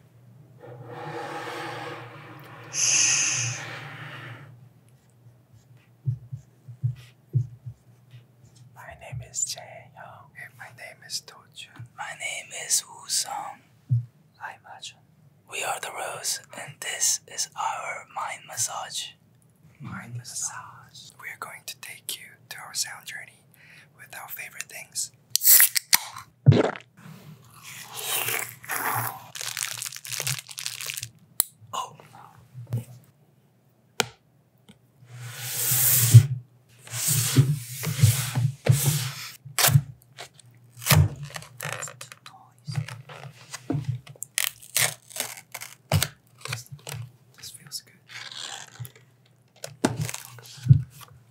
My name is Jae my name is Do My name is Woo Song. I'm We are the Rose, and this is our mind massage. Mind massage. We're going to take you to our sound journey with our favorite things. Oh. That's the noise. This, this feels good.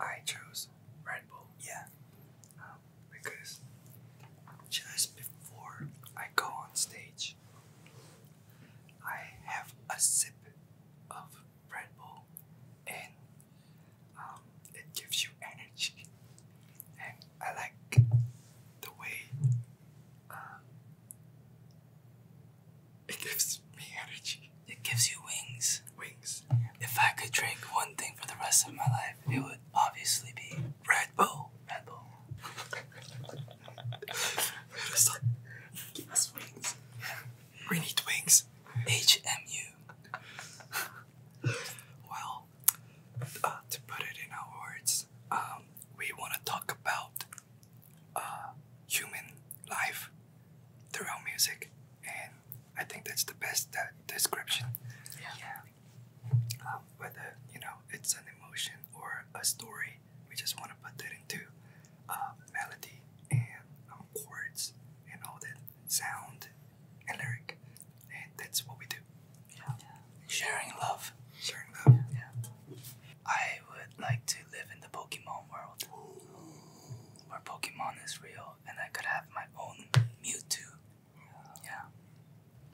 I chose Red Bull. Yeah. Um, because just before I go on stage, I have a sip of Red Bull and um, it gives you energy. And I like the way uh, it gives me energy. It gives you wings. Wings. If I could drink one thing for the rest of my life, it would obviously be Red Bull. Red Bull. Give us wings. We need wings. HMU. well, uh, to put it in our words, um, we want to talk about uh, human life through our music, and I think that's the best uh, description. Yeah. Um, whether you know it's an emotion or a story, we just want to put that into uh, melody and um, chords and all that sound and lyric, and that's what we do. Yeah. Sharing love. Sharing love. Yeah. I would like to live in the Pokemon world where Pokemon is real and I could have my own Mewtwo. Yeah.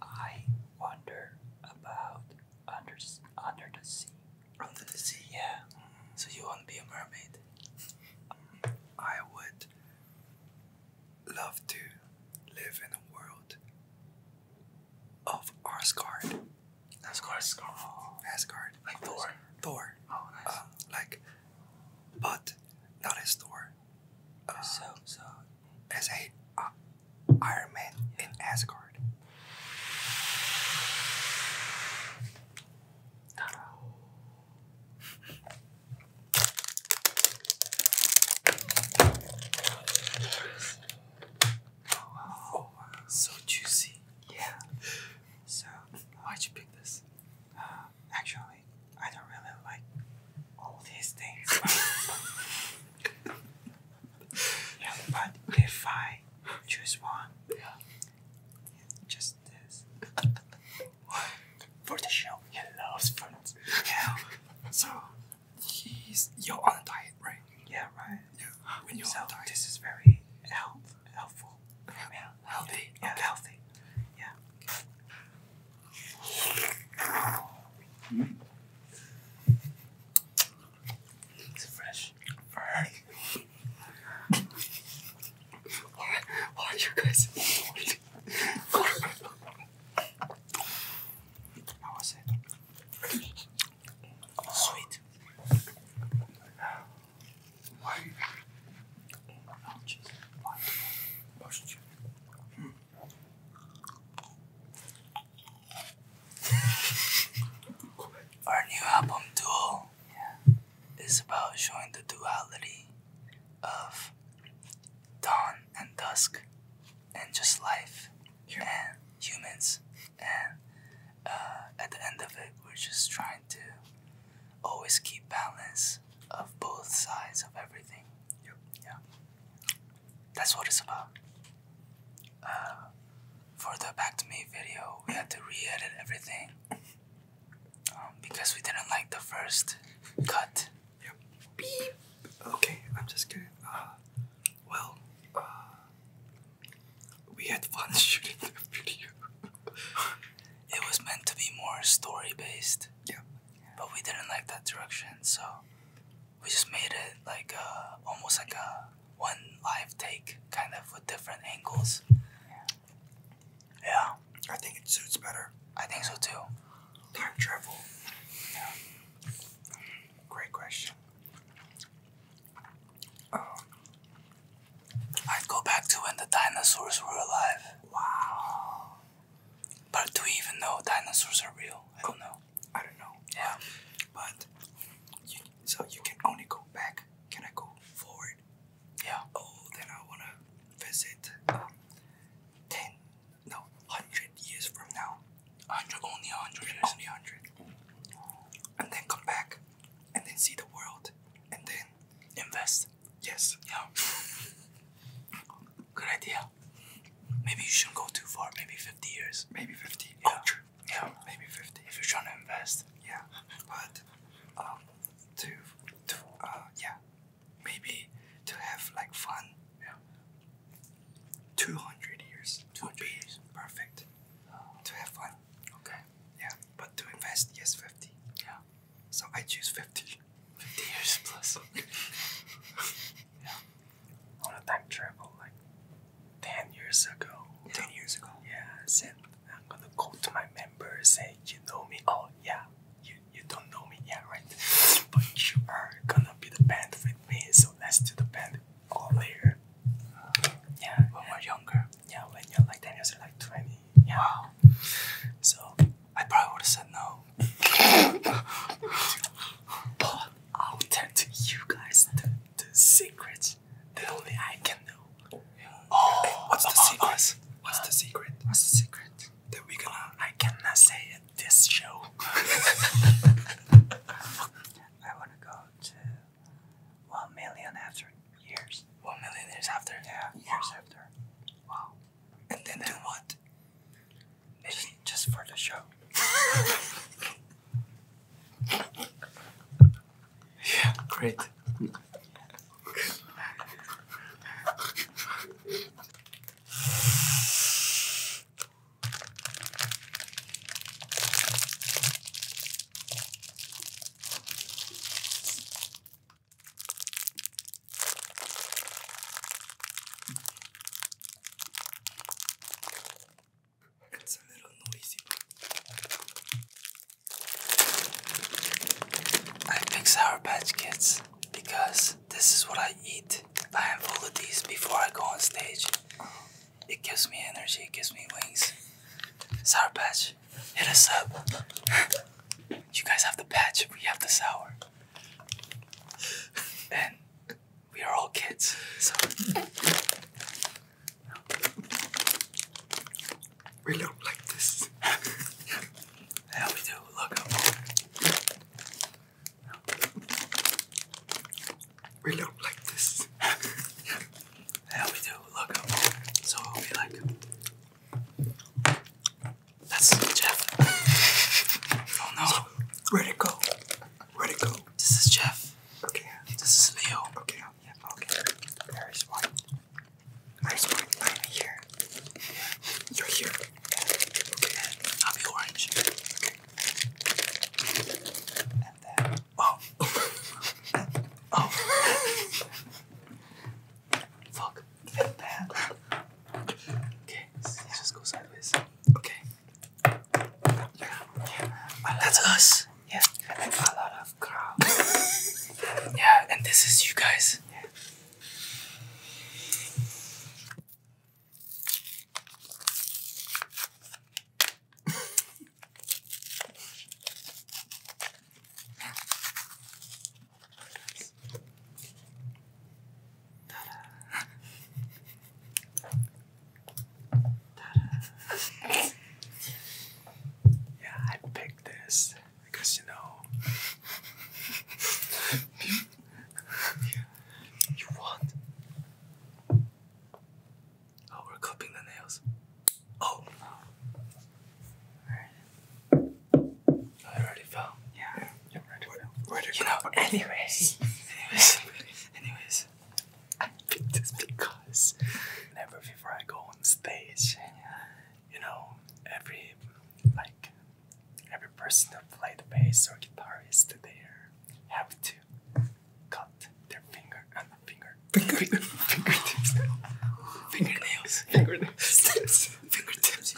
I wonder about under under the sea. Under the sea, yeah. So you want to be a mermaid? I would love to live in a world of Asgard. Asgard. Asgard. Asgard. Like Thor. Thor. Oh, nice. Um, like, but not as Thor. Uh, so, so. As a uh, Iron Man in Asgard. Oh, wow. oh, wow. So juicy. Yeah. So why'd you pick this? Uh, actually, I don't really like all these things. But yeah, but if I choose one, just this. for the show, he loves fruits. Yeah. So he's you're on a diet, right? Yeah, right. Yeah. When you're on a diet. this is very healthy helpful. Yeah, healthy. Yeah, healthy. Yeah. It's fresh. Fresh. why, why you guys? How was it? Sweet. Our new album, Dual, is about showing the duality of dawn and dusk and just life and humans and uh, at the end of it, we're just trying to always keep balance of both sides of everything. Yeah. That's what it's about. Uh, for the Back to Me video, we had to re edit everything um, because we didn't like the first cut. Yep. Okay, I'm just kidding. Uh, well, we had fun shooting the video. it was meant to be more story based. Yeah. But we didn't like that direction, so we just made it like uh, almost like a one live take, kind of with different angles. Yeah. I think it suits better. I think so too. Time travel. Great question. I'd go back to when the dinosaurs were alive. Wow. But do we even know dinosaurs are real? I don't know. I don't know. Yeah. But so you can only go back. Can I go forward? Yeah. Oh, then I wanna visit um, ten, no, hundred years from now. Hundred, only hundred years. Only hundred. And then come back and then see the world and then invest. Yes. Yeah. Good idea. Maybe you shouldn't go too far. Maybe 50 years. Maybe 50. Yeah. Oh, true. Yeah. Maybe 50. If you're trying to invest. Yeah. But um to to uh yeah. Maybe to have like fun. Yeah. 200 years. 200 years. Perfect. Uh, to have fun Okay. Yeah, but to invest, yes, fifty. Yeah. So I choose fifty. Fifty years plus. yeah. On a time travel, like ten years ago. Ten years ago. Yeah. I said I'm gonna go to my members. and say, "You know me? Oh yeah. You you don't know me Yeah, right? but you are gonna be the band with me. So let's do the band all later." Uh, yeah. When we're younger yeah, when you're like 10 you're like 20. Yeah. So I probably would have said no. but I'll tell to you guys the, the secret that only I can know. Oh, what's, the uh, what's the secret? What's the secret? That we gonna I cannot say it this show. I wanna go to one million after years. One million years after? Yeah, wow. years after. Wow. And then do what? Maybe just, just for the show. yeah, great. It's a little I fix Sour Patch Kids because this is what I eat. A handful of these before I go on stage. It gives me energy, it gives me wings. Sour Patch, Hit us up. you guys have the patch, we have the sour. And we are all kids, so. we look like this. yeah, we do. Look up. We look like this. How we do logo. So it'll be like That's Jeff. oh no. So, where'd go? Where'd go? This is Jeff. Okay. This is Leo. Okay. Yeah, okay. There is one. Nice one. I'm here. You're here. Okay. I'll be orange. Okay and then oh, oh, fuck, and then okay, so just go sideways. Okay, yeah, yeah. that's us. Yeah, and then a lot of crowds. yeah, and this is you guys. Yeah. Yeah, I picked this because you know you want Oh, we're clipping the nails. Oh. oh. I already fell. Yeah. yeah. yeah. Right. you know, anyways. anyways. anyways. I picked this because never before I go on stage, you know, every, like, every person who played bass or guitarist, they have to cut their finger Finger. Finger. Fingertips. Fingernails. Fingernails. Fingertips.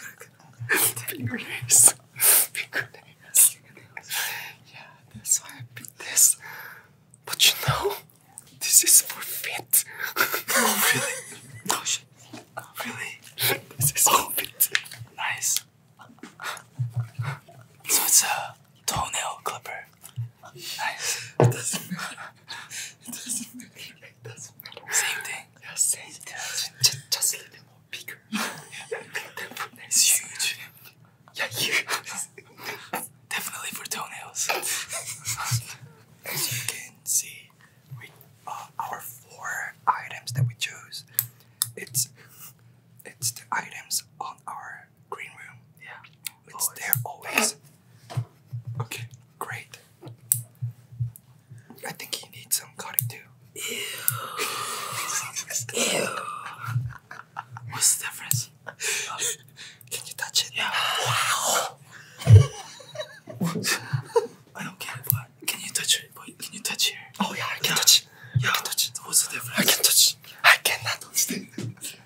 Fingernails. Fingernails. Yeah, that's why I picked this. But you know, this is for fit. oh really? Oh shit. Oh, really? This is oh. fit. Nice. So it's a uh, toenail clipper. Nice. It doesn't matter. It doesn't Same thing. Yeah, same thing. Just, a little bit more bigger. Yeah. It's huge. Yeah, huge. Definitely for toenails. As you can see, we uh, our four items that we chose. It's it's the items on our green room. Yeah. It's always. there always. Okay, great. I think he needs some cutting too. Ew. Ew. What's the difference? Can you touch it? Yeah. Wow. I don't get it, but can you touch it? But can you touch it? Oh yeah, I can yeah. touch it. Yeah. I can touch it. What's the difference? I can touch it. I cannot touch it.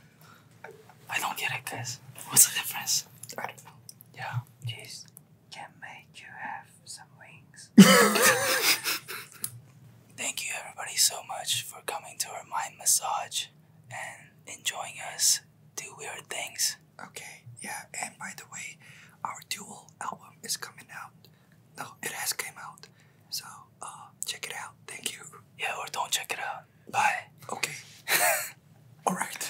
I don't get it, guys. What's the difference? I don't know. Yeah. Cheese can make you have some wings. Thank you, everybody, so much for coming to our mind massage and enjoying us do weird things. Okay, yeah, and by the way, our dual album is coming out. No, it has came out. So, uh, check it out. Thank you. Yeah, or don't check it out. Bye. Okay. All right.